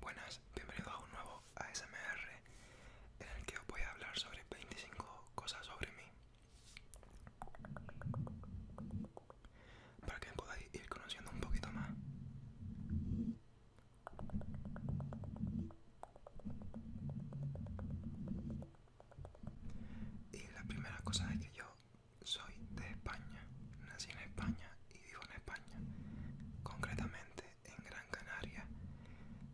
Buenas, bienvenidos a un nuevo ASMR en el que os voy a hablar sobre 25 cosas sobre mí para que podáis ir conociendo un poquito más. Y la primera cosa es que yo soy de España, nací en España y vivo en España, concretamente en Gran Canaria,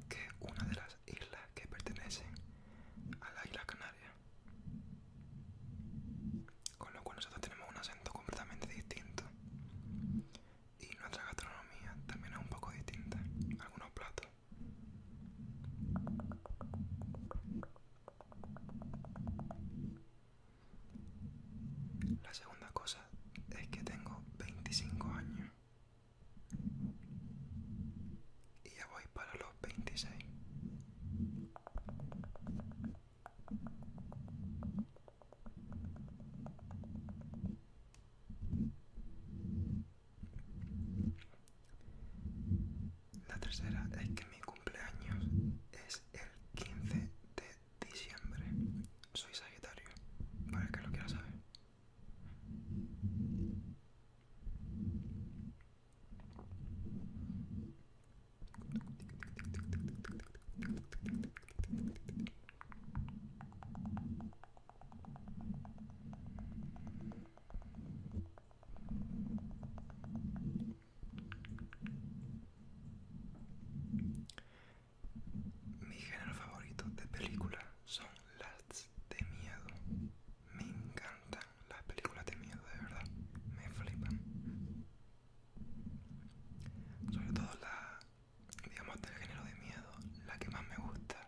que es una de las islas que pertenecen a la isla Canaria. Con lo cual nosotros tenemos un acento completamente distinto. Y nuestra gastronomía también es un poco distinta. Algunos platos. La segunda cosa es que tengo 25 años. Y ya voy para los 26. La tercera es que mi cumpleaños es el 15 de diciembre. Soy Sagitario, para que lo quiera saber. Mi género favorito de película son las de miedo. Me encantan las películas de miedo, de verdad. Me flipan. Sobre todo la, digamos, del género de miedo, la que más me gusta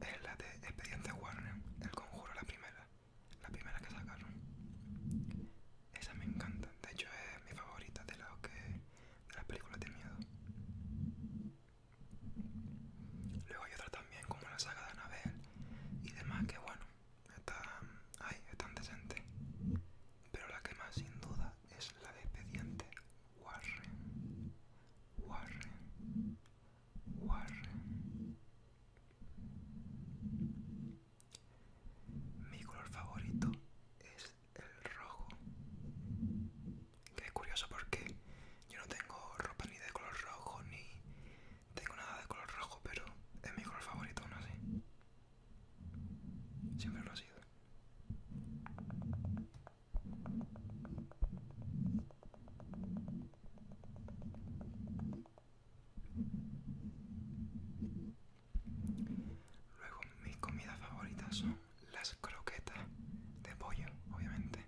es la de Expediente Warner, El Conjuro, la primera. La primera que sacaron. Esa me encanta, de hecho es mi favorita de, la que, de las películas de miedo. Luego hay otra también como la saga de Anabel y demás que bueno, están, ay, están decentes. Pero la que más sin duda es la de expediente Warren. Warren. Warren. Mi color favorito es el rojo. Que es curioso porque yo no tengo ropa ni de color rojo ni tengo nada de color rojo, pero es mi color favorito aún así. Siempre lo ha sido. Luego mis comidas favoritas son las croquetas de pollo, obviamente.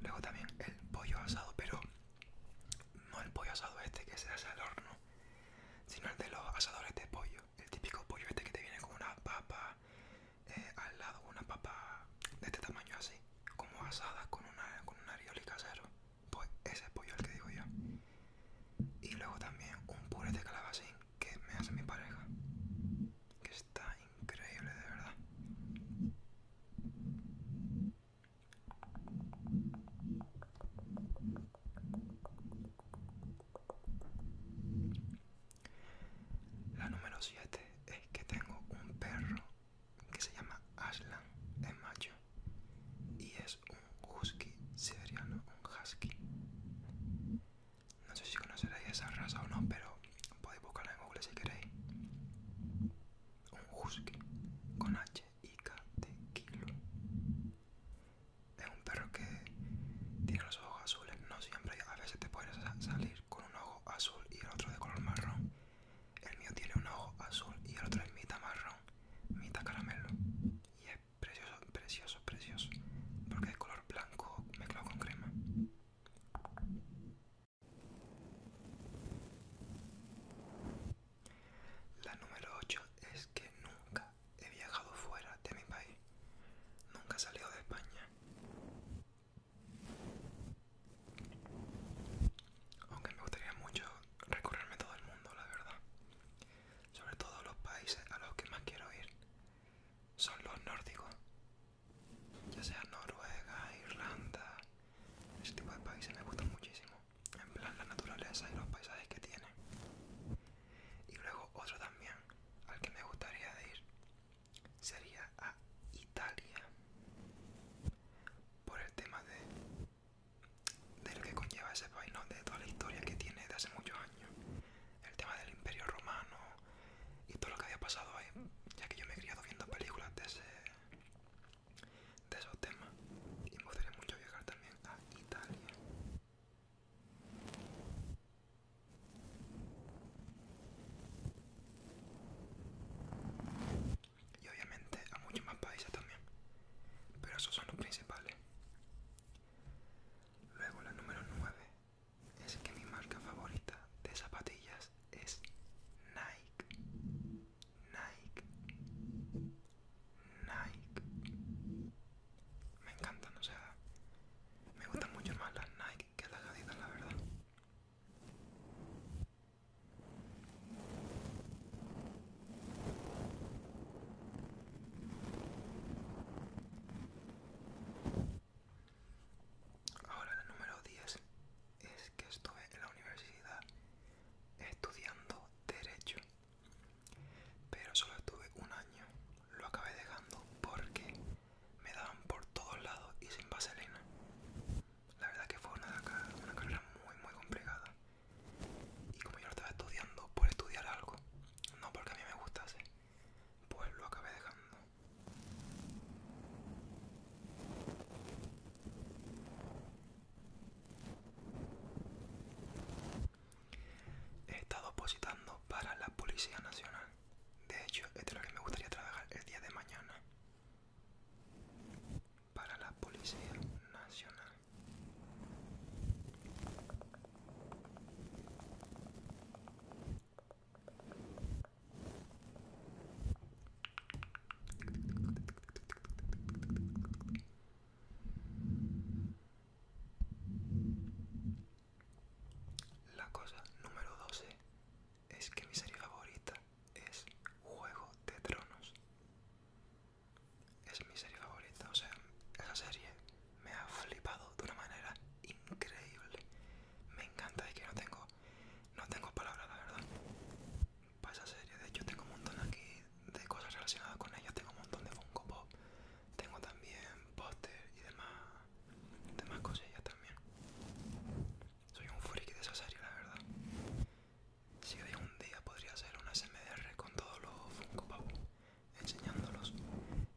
Luego también el pollo asado, pero no el pollo asado este que se hace al horno, sino el de los asadores de pollo. El típico pollo este que te viene con una papa eh, al lado, una papa de este tamaño así, como asada con una, con un arioli casero. Pues ese pollo el que digo yo. Y luego también un puré de calabacín que me hace mi pareja. Que está increíble, de verdad. La número 7 es que tengo un perro que se llama Aslan, es macho y es un husky siberiano, un husky. No sé si conoceréis esa raza o no, pero podéis buscarla en Google si queréis. Un husky con H y K de kilo. Es un perro que tiene los ojos azules, no siempre, a veces te puedes salir con un ojo azul y el otro de color marrón el mío tiene un ojo azul y el otro es mitad marrón, mitad caramelo. Y es precioso, precioso, precioso. Porque es color blanco mezclado con crema. La número 8 es que nunca he viajado fuera de mi país. Nunca he salido de España. Aunque me gustaría mucho recorrerme todo el mundo, la verdad. Sobre todo los países a los que más quiero ir son los nórdicos. Ya sea Noruega, Irlanda, ese tipo de países me gustan muchísimo. En plan la naturaleza y los paisajes que tienen. Y luego otro también al que me gustaría ir sería a Italia. Por el tema de del que conlleva ese país, de toda la historia que tiene desde hace muchos años, el tema del imperio romano y todo lo que había pasado ahí, ya que yo me he criado viendo películas de, ese, de esos temas y me gustaría mucho viajar también a Italia y obviamente a muchos más países también. Pero esos son los principales. Luego la número 9 es que mi marca favorita de zapatillas es Nike. Nike. Nike. Me encantan, o sea, me gustan mucho más las Nike que las Adidas, la verdad. Ahora la número 10 es que estuve en la universidad estudiando derecho, pero solo estuve un año. Lo acabé dejando porque me daban por todos lados y sin vaselina. La verdad que fue una, una carrera muy muy complicada. Y como yo lo estaba estudiando por estudiar algo, no porque a mí me gustase, pues lo acabé dejando. He estado opositando para la Policía Nacional. De hecho, esto es lo que me gustaría trabajar el día de mañana para la Policía Nacional. La cosa número 12 es que mi serie favorita es Juego de Tronos. Es mi serie favorita, o sea, esa serie me ha flipado de una manera increíble. Me encanta y que no tengo, no tengo palabras, la verdad. Para esa serie, de hecho tengo un montón aquí de cosas relacionadas con ella, tengo un montón de Funko Pop, tengo también póster y demás, demás cosillas también. Soy un friki de esa serie, la verdad. Si algún un día podría hacer una SMDR con todos los Funko Pop, enseñándolos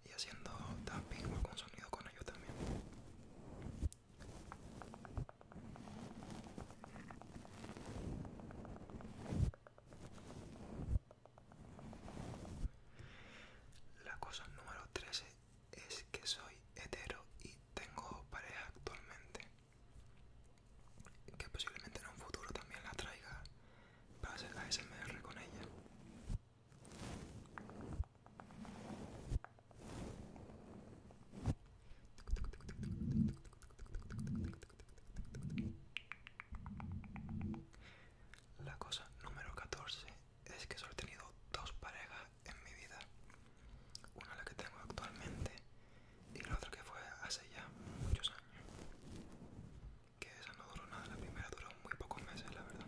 y haciendo tapping con sonido con ellos también. La cosa número 13 es que soy hetero y tengo pareja actualmente que posiblemente en un futuro también la traiga para hacer SMR con ella. La cosa número 14 es que solo he tenido dos parejas en mi vida una la que tengo actualmente y la otra que fue hace ya muchos años. Que esa no duró nada, la primera duró muy pocos meses, la verdad.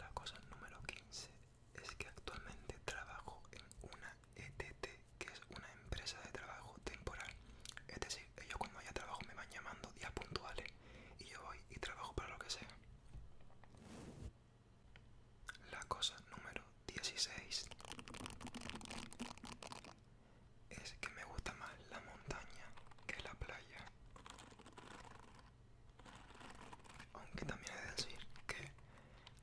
La cosa número 15 es que actualmente trabajo en una ETT, que es una empresa de trabajo temporal. Es decir, ellos cuando haya trabajo me van llamando días puntuales y yo voy y trabajo para lo que sea. La cosa número 16 es que me gusta más la montaña que la playa. Aunque también he de decir que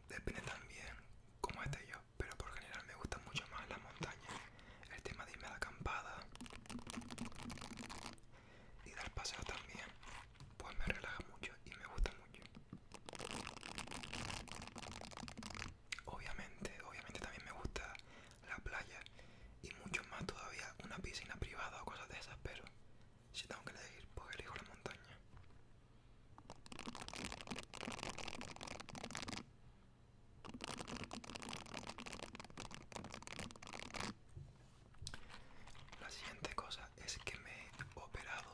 depende también como este yo, pero por general me gusta mucho más las montañas, el tema de irme a la acampada y dar paseo también, pues me relaja mucho y me gusta mucho. Obviamente, obviamente también me gusta la playa y mucho más todavía una piscina privada o cosas de esas, pero si tengo que elegir, pues elijo la montaña. La siguiente cosa es que me he operado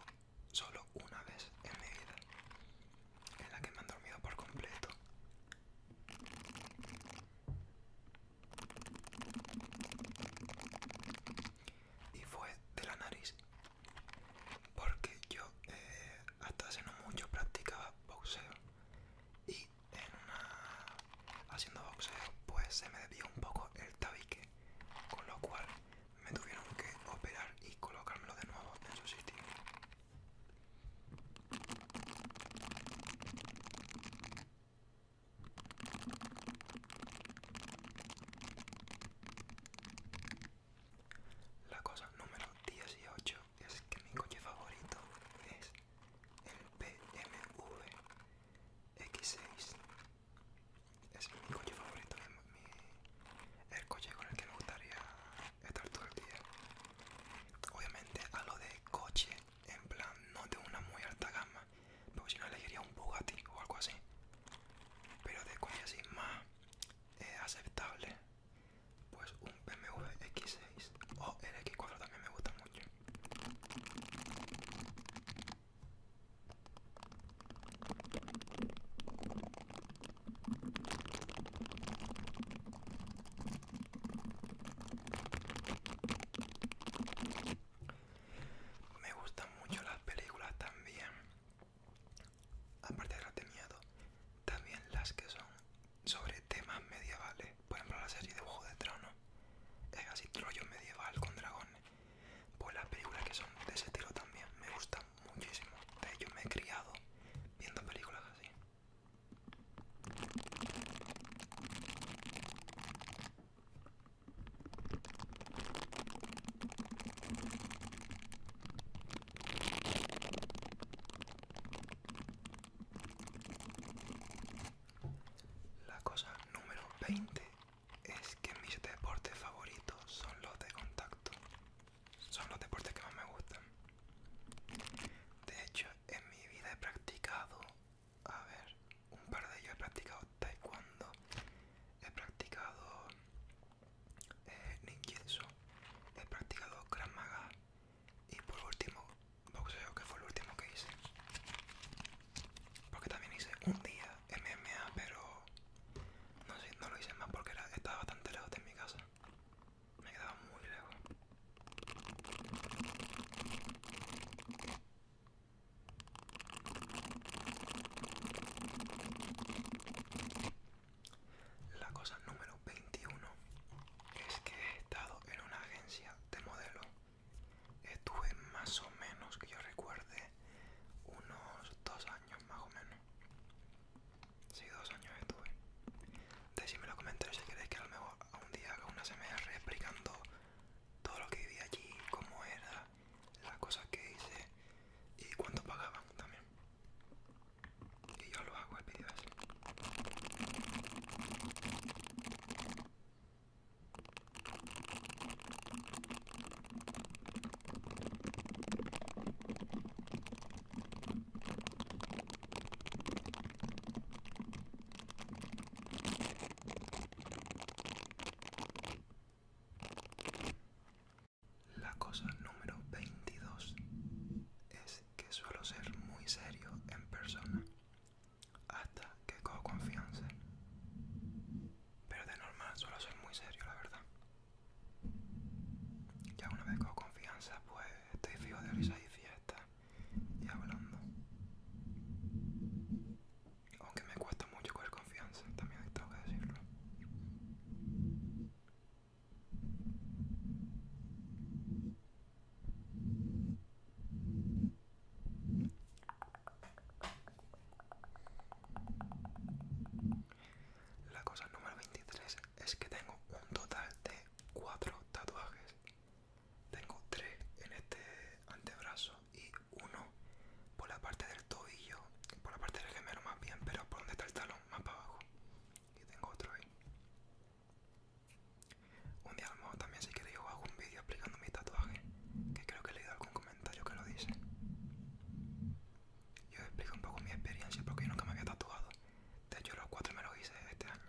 solo una vez en mi vida, en la que me han dormido por completo. Y fue de la nariz porque yo eh, hasta hace no mucho practicaba boxeo y en haciendo boxeo pues se me desvió un poco el tabique con lo cual me tuvieron que operar y colocármelo de nuevo en su sitio la cosa número 18 es que mi coche favorito es el BMW X6. Es mi coche favorito, el coche con el que me gustaría estar todo el día. Obviamente a lo de coche, en plan no de una muy alta gama, pero si no elegiría un Bugatti o algo así pero de coña más eh, aceptable pues un BMW X6 o el X4 también me gusta mucho me gustan mucho las películas también aparte de miedo, también las que son sobre temas medievales por ejemplo la serie de Juego de trono es así rollo medieval con dragones pues las películas que son de ese estilo también me gustan muchísimo de hecho me he criado viendo películas así la cosa número 20 es que mis deportes favoritos son los de contacto. Son los deportes que más me gustan. De hecho, en mi vida he practicado, a ver, un par de ellos he practicado taekwondo, he practicado eh, he practicado Krav Maga y por último boxeo, que fue el último que hice. Porque también hice un día MMA, pero no, sé, no lo hice más porque estaba bastante lejos de mi casa. Me quedaba muy lejos. La cosa número 21 es que he estado en una agencia de modelo. Estuve más o menos, que yo recuerde, unos dos años más o menos. Sí, dos años estuve. si en los comentarios si queréis que a lo mejor un día haga una SMR explicando todo lo que viví allí, cómo era, las cosas que hice y cuánto pagaban también. Y yo lo hago el pedido la cosa número 22 es que suelo ser muy serio en persona hasta que cojo confianza. Pero de normal suelo ser muy serio, la verdad. Ya una vez cojo confianza, pues estoy fijo de risa y fiesta y hablando. Aunque me cuesta mucho cualquier confianza, también tengo que decirlo. La cosa número 23 es que tengo un total de 4 tatuajes. Tengo 3 en este antebrazo y uno por la parte del tobillo, por la parte del gemelo más bien, pero por donde está el talón, más para abajo. Y tengo otro ahí. Un día mejor también si queréis yo hago un vídeo explicando mi tatuaje, que creo que he leído algún comentario que lo dice. Yo explico un poco mi experiencia porque yo nunca me había tatuado. De hecho los cuatro me los hice este año.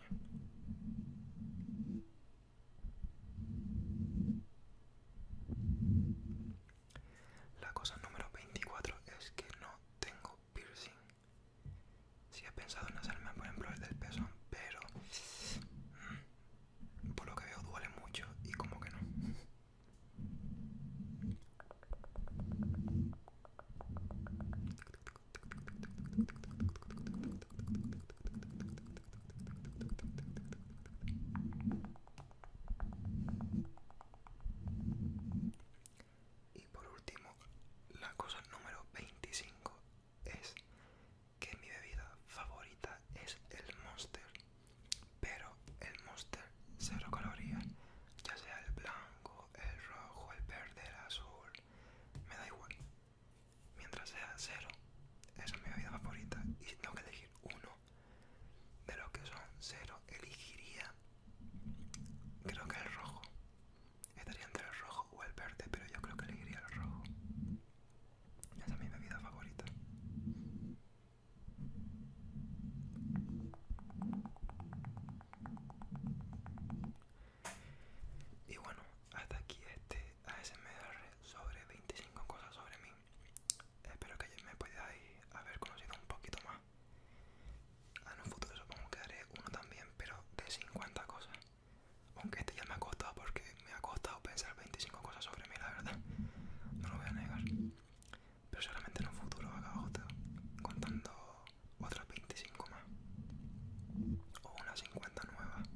La cosa número 24 es que no tengo piercing. Sí he pensado en hacerme, por ejemplo, el del pezón, pero mm, por lo que veo duele mucho y como que no. Y por último, la cosa número 25 es que mi bebida favorita es el Monster, pero el Monster cero calorías, ya sea el blanco, el rojo, el verde, el azul, me da igual. Mientras sea cero, esa es mi bebida favorita y tengo que elegir uno de los que son cero elegiría creo que el rojo estaría entre el rojo o el verde pero yo creo que elegiría el rojo esa es mi bebida favorita y bueno hasta aquí este ASMR sobre 25 cosas sobre mí espero que me podáis haber conocido un poquito más. En un futuro supongo que haré uno también, pero de 50 cosas. Aunque este ya me ha costado porque me ha costado pensar 25 cosas sobre mí, la verdad. No lo voy a negar. Pero solamente en un futuro haga otro, contando otras 25 más. O unas 50 nuevas.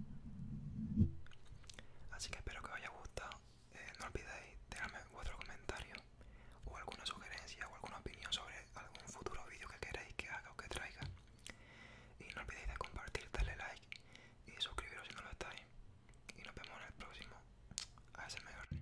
Así que espero que os haya gustado. Eh, no olvidéis dejarme vuestro comentario o alguna sugerencia o alguna opinión sobre algún futuro vídeo que queréis que haga o que traiga. Y no olvidéis de compartir, darle like y suscribiros si no lo estáis. Y nos vemos en el próximo. mejor